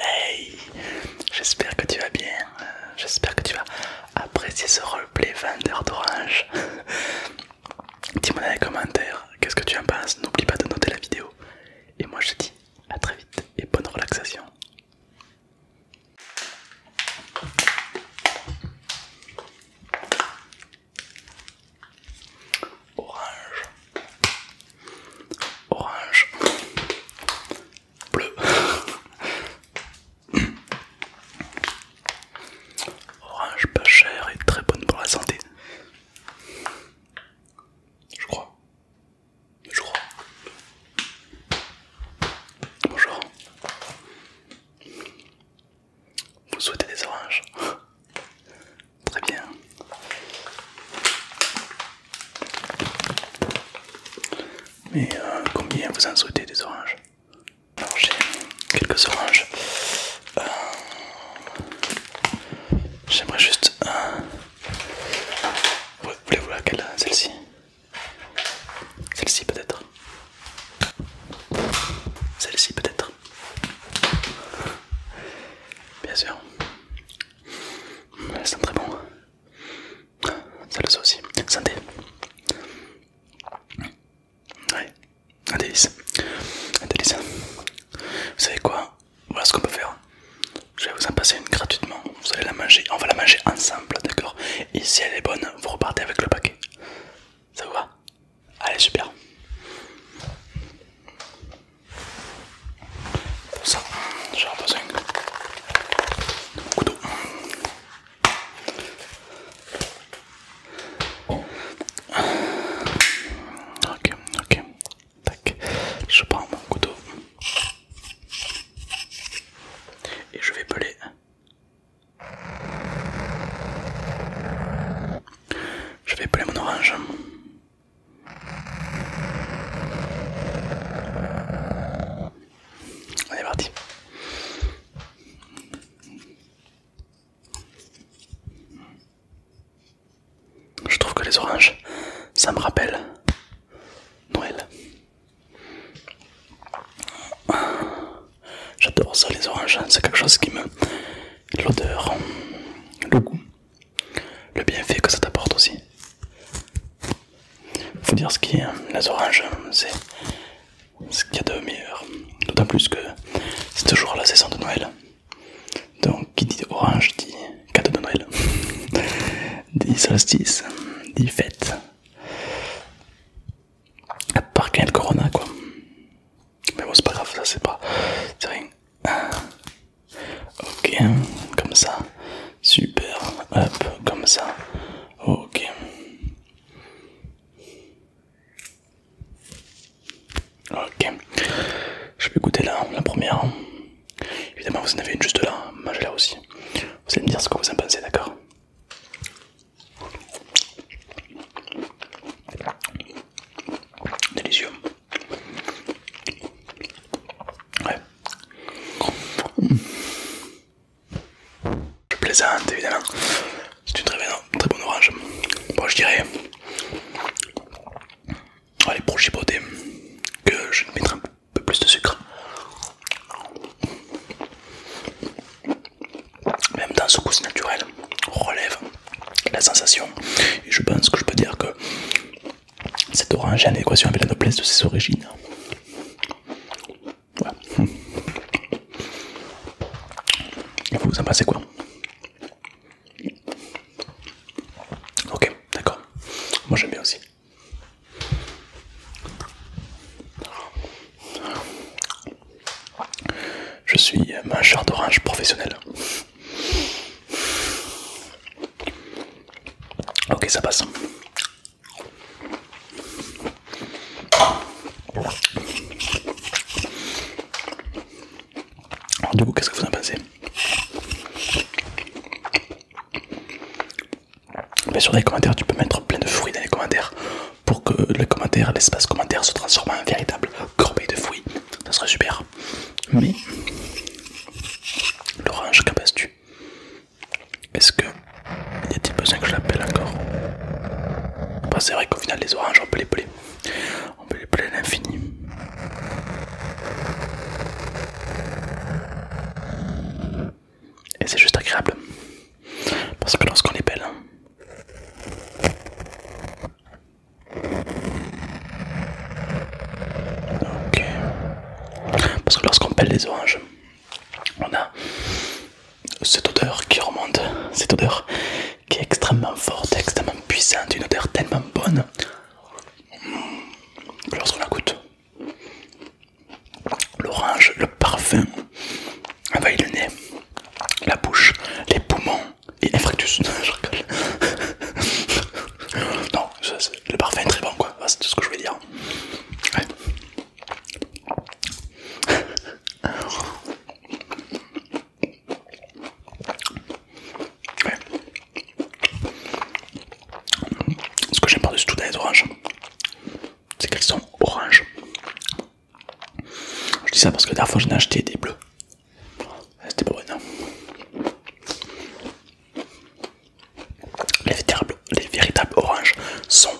Hey J'espère que tu vas bien, euh, j'espère que tu vas apprécier ce roleplay vendeur d'orange. Dis-moi dans les commentaires qu'est-ce que tu en penses, n'oublie pas de noter la vidéo. Et moi je te dis à très vite et bonne relaxation. Orange orange, bleu, orange pas cher et très bonne pour la santé. Je crois. Je crois. Bonjour. Vous souhaitez des oranges Très bien. Mais euh, combien vous en souhaitez des oranges Alors j'ai quelques oranges. Euh, j'aimerais juste... Euh, voulez-vous laquelle Celle-ci Celle-ci peut-être Celle-ci peut-être Bien sûr. Elles sont très bon. Ça le aussi. Santé. Ouais, un délice. Un délice. Hein. Vous savez quoi Voilà ce qu'on peut faire. Je vais vous en passer une gratuitement. Vous allez la manger. On va la manger ensemble, d'accord Et si elle est bonne, vous repartez avec le paquet. Ça vous va Allez, super ça, j'aurai besoin de mon couteau. Ok, ok. Je prends mon couteau. Et je vais peler. Je vais peler mon orange. On est parti. Je trouve que les oranges, ça me rappelle Noël. J'adore ça les oranges, hein. c'est quelque chose qui me... L'odeur, le goût, le bienfait que ça t'apporte aussi. Faut dire ce qui est, les oranges, c'est ce qu'il y a de meilleur. D'autant plus que c'est toujours la saison de Noël. Donc qui dit orange dit cadeau de Noël, dit solstice, dit fête. À part corona quoi. Mais bon c'est pas grave, ça c'est pas... c'est rien. Ok, comme ça. Super. Hop, comme ça. Ok. Ok. Je vais goûter la, la première. Évidemment, vous en avez une juste là. Moi, j'ai là aussi. Vous allez me dire ce que vous en pensez, d'accord Délicieux. Ouais. Je plaisante évidemment. C'est une très, bonne, très bonne orange. Bon, je dirais. Allez, pour chipoter, que je mettre un peu plus de sucre. Même dans ce goût naturel, relève la sensation. Et je pense que je peux dire que cet orange est en équation avec la noblesse de ses origines. Voilà. vous, vous en pensez quoi Ok, d'accord. Moi j'aime bien aussi. Je suis mangeur d'orange professionnel. Ok, ça passe. Alors, du coup, qu'est-ce que vous en pensez Bien sûr, dans les commentaires, tu peux mettre plein de fruits dans les commentaires pour que l'espace commentaire se transforme en véritable corbeille de fruits. Ça serait super. l'orange, qu'en penses-tu est-ce que. Y a-t-il besoin que je l'appelle encore bah, C'est vrai qu'au final, les oranges, on peut les peler. On peut les peler à l'infini. Et c'est juste agréable. Parce que lorsqu'on les pèle... Hein, ok. Parce que lorsqu'on pèle les oranges, on a cette odeur qui remonte, cette odeur qui est extrêmement forte, extrêmement puissante, une odeur tellement bonne que mmh. lorsqu'on la goûte, l'orange, le parfum envahit le nez, la bouche, les poumons et un Je rigole. le parfum est très bon quoi, ah, c'est tout ce que je voulais dire. Ouais. Ce que j'aime par-dessus tout dans les oranges, c'est qu'elles sont oranges. Je dis ça parce que la dernière fois j'en ai acheté des bleus. C'était pas bon. Hein. Les véritables, les véritables oranges sont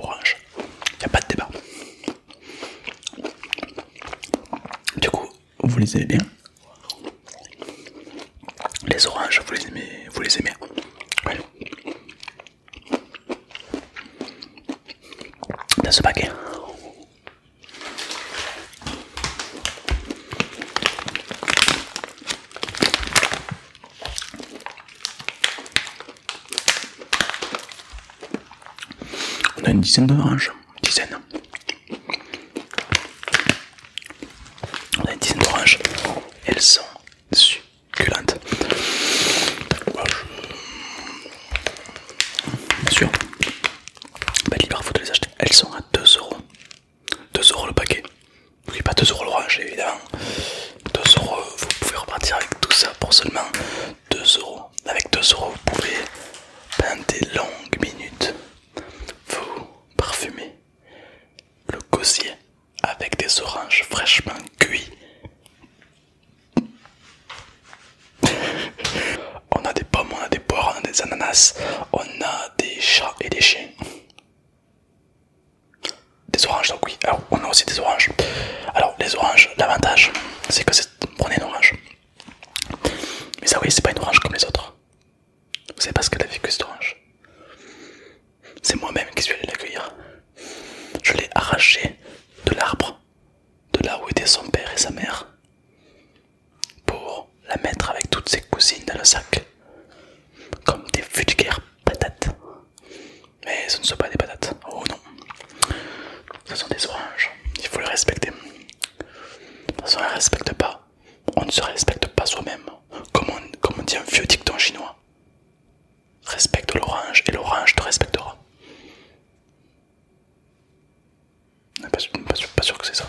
oranges. Il a pas de débat. Du coup, vous les aimez bien hein Les oranges, vous les aimez, vous les aimez hein Dans ce paquet. On a une dizaine d'oranges, une dizaine. On a une dizaine d'oranges, elles sont succulentes. Bien sûr, pas libre, faut les acheter. Elles sont à 2 euros. 2 euros le paquet. Oui, pas 2 euros l'orange évidemment. 2 euros, vous pouvez repartir avec tout ça pour seulement 2 euros. Avec 2 euros, vous pouvez pendant des longues minutes vous parfumer le gosier avec des oranges fraîchement cuits. on a des pommes, on a des poires, on a des ananas, on a des chats et des chiens. Des oranges, donc oui. Alors, on a aussi des oranges. Alors, les oranges, l'avantage, c'est que c'est. une orange. Mais ça, oui, c'est pas une orange comme les autres. Vous savez pas ce qu'elle a que cette orange. C'est moi-même qui suis allé l'accueillir. Je l'ai arraché de l'arbre, de là où étaient son père et sa mère, pour la mettre avec toutes ses cousines dans le sac, comme des vulgaires patates. Mais ce ne sont pas des patates. Oh non. Ce sont des oranges. Il faut les respecter. De toute façon, on ne respecte pas. On ne se respecte pas soi-même. Comme on, dit un vieux dicton chinois. Respecte l'orange et l'orange te respectera. Pas pas sûr que c'est ça.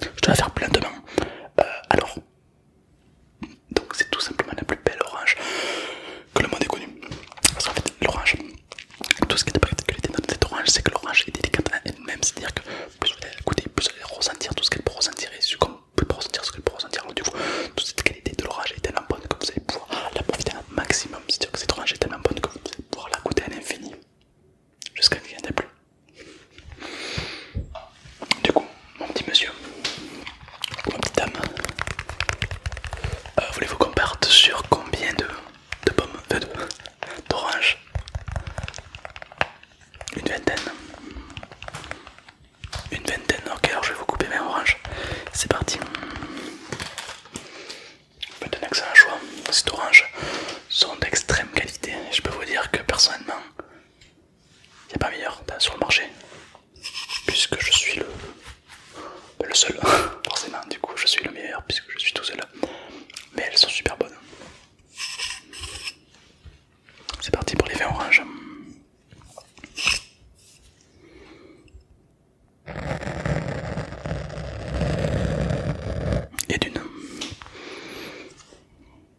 je dois faire plein de Euh, alors, donc c'est tout simplement la plus belle orange que le monde ait connue. Parce qu'en fait, l'orange, tout ce qui est de particulier dans cette orange, c'est que l'orange est délicate en elle-même. C'est-à-dire que plus vous allez la goûter, plus vous allez ressentir tout ce qu'elle peut ressentir et ce qu'on peut ressentir, ce qu'elle peut ressentir. donc du coup, toute cette qualité de l'orange est tellement bonne que vous allez pouvoir la profiter un maximum. C'est-à-dire que cette orange est tellement bonne que vous allez pouvoir la goûter à l'infini jusqu'à ce qu'il n'y en plus. Du coup, mon petit monsieur, mon petit dame, euh, voulez-vous qu'on parte sur combien de, pommes, D'orange. Une vingtaine. Une vingtaine, ok, alors je vais vous couper mes oranges. C'est parti. donner un choix, c'est orange sont d'extrême qualité. Je peux vous dire que personnellement, il n'y a pas meilleur bah, sur le marché. Puisque je suis le, bah, le seul, forcément, du coup je suis le meilleur puisque je suis tout seul. Mais elles sont super bonnes. C'est parti pour les vins orange Et d'une. 3 4 5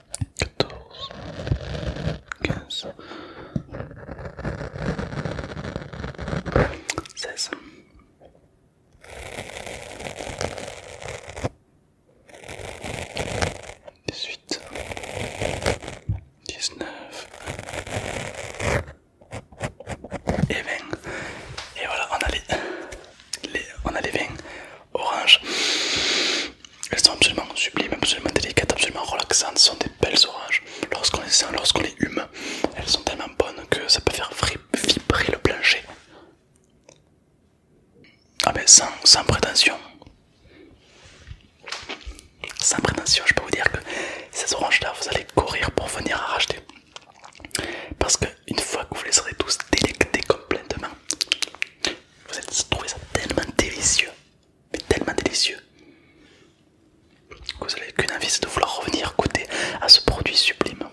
14, 15, 16. Dix-huit, dix-neuf et vingt. Et voilà, on a les, on a vingt orange. Elles sont absolument sublimes, absolument délicates, absolument relaxantes. Ce sont des belles oranges. Lorsqu'on les sent, lorsqu'on les hume, elles sont tellement bonnes que ça peut faire vibrer le plancher. Ah ben sans, prétention. Sans prétention, je peux vous dire que ces oranges-là, vous allez courir pour venir en racheter. Parce qu'une fois que vous les aurez tous délectés complètement, vous allez trouver ça tellement délicieux tellement délicieux que vous n'avez qu'une envie, c'est de vouloir revenir goûter à ce produit sublime,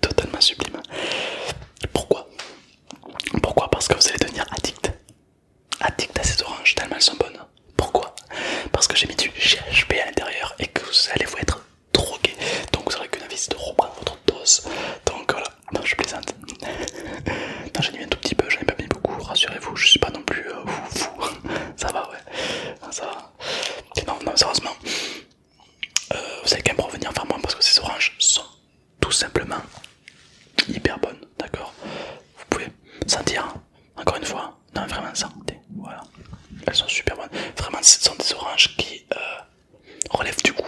totalement sublime. Pourquoi Pourquoi Parce que vous allez devenir addict, addict à ces oranges tellement elles sont bonnes. Pourquoi Parce que j'ai mis du GHB à l'intérieur et que vous allez vous être drogué. Donc vous n'aurez qu'une envie, c'est de reprendre votre dose. Donc non, je plaisante. non, j'ai un tout petit peu, j'en ai pas mis beaucoup, rassurez-vous, je suis pas non plus euh, fou, ça va, ouais. Non, ça va. Non, non, sérieusement, euh, vous allez quand même revenir enfin moi parce que ces oranges sont tout simplement hyper bonnes, d'accord Vous pouvez sentir, encore une fois, non, vraiment sentez, voilà. Elles sont super bonnes. Vraiment, ce sont des oranges qui euh, relèvent du goût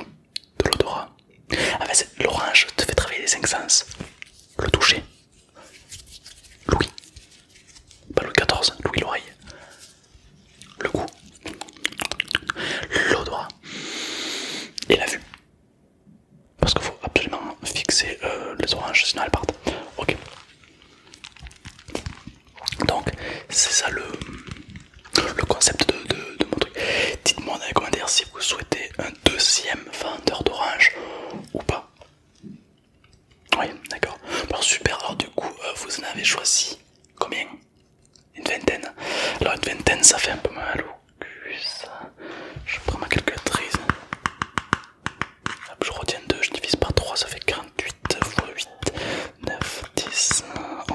de l'odorat. En l'orange te fait travailler les cinq sens. Le toucher. Louis. Pas Louis 14, Louis l'oreille. Le goût. L'odorat. Et la vue. Parce qu'il faut absolument fixer euh, les oranges, sinon elles partent. Ok. Donc, c'est ça le, concept de, de, de mon truc. Dites-moi dans les commentaires si vous souhaitez un deuxième vendeur d'orange ou pas Oui, d'accord. Alors super, alors du coup, euh, vous en avez choisi combien Une vingtaine. Alors une vingtaine, ça fait un peu mal au cul, ça. Je prends ma calculatrice. Hop, je retiens 2, je divise par 3, ça fait 48 x 8, 9, 10, 11.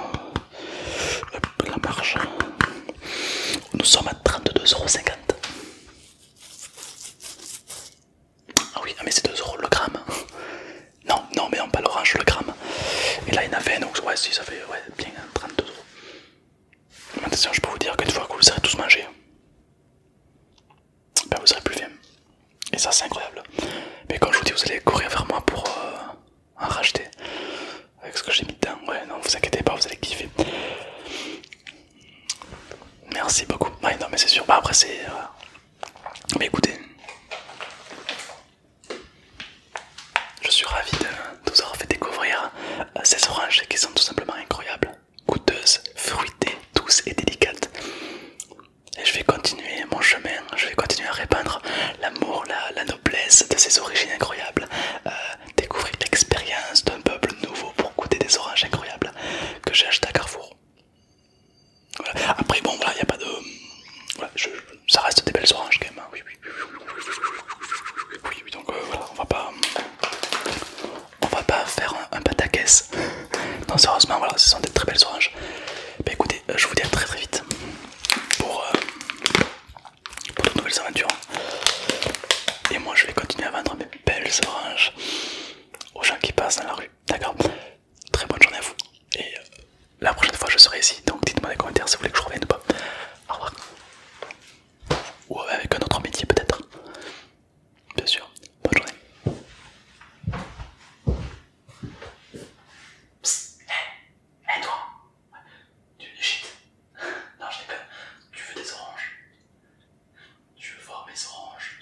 la marge. Nous sommes à 32,50€. Ah oui, ah, mais c'est 2€ le gramme. Non, non, mais non, pas l'orange, le gramme. Et là, il y en a 20, donc ouais, si ça fait ouais, bien 32 hein, euros. Attention, je peux vous dire qu'une fois que vous aurez tous mangé ben vous serez plus faim. Et ça, c'est incroyable. Mais quand je vous dis, vous allez courir vers moi pour euh, en racheter avec ce que j'ai mis dedans. Ouais, non, vous inquiétez pas, vous allez kiffer. Merci beaucoup. non, mais c'est sûr. Bah, après, c'est. Euh, mais écoutez, je suis ravi de, vous avoir fait découvrir euh, ces oranges qui sont tout simplement incroyables, goûteuses, fruitées, douces et délicates. Et je vais continuer mon chemin, je vais continuer à répandre l'amour, la, noblesse de ces origines incroyables, euh, découvrir l'expérience d'un peuple nouveau pour goûter des oranges incroyables que j'ai acheté à Carrefour. Après, bon, voilà, il n'y a pas de. Ça reste des belles oranges quand même. Oui, oui, donc voilà, on va pas. On va pas faire un, pata pataquès. Non, sérieusement, voilà, ce sont des très belles oranges. Bah écoutez, je vous dis à très très vite pour, pour de nouvelles aventures. Et moi je vais continuer à vendre mes belles oranges aux gens qui passent dans la rue. D'accord Très bonne journée à vous. Et euh, la prochaine fois je serai ici. Donc dites-moi dans les commentaires si vous voulez que je revienne ou pas. Au revoir. Ou euh, avec un autre métier peut-être. Bien sûr. Bonne journée. Eh, eh, toi tu shit. non, je déconne. Tu veux des oranges Tu veux voir mes oranges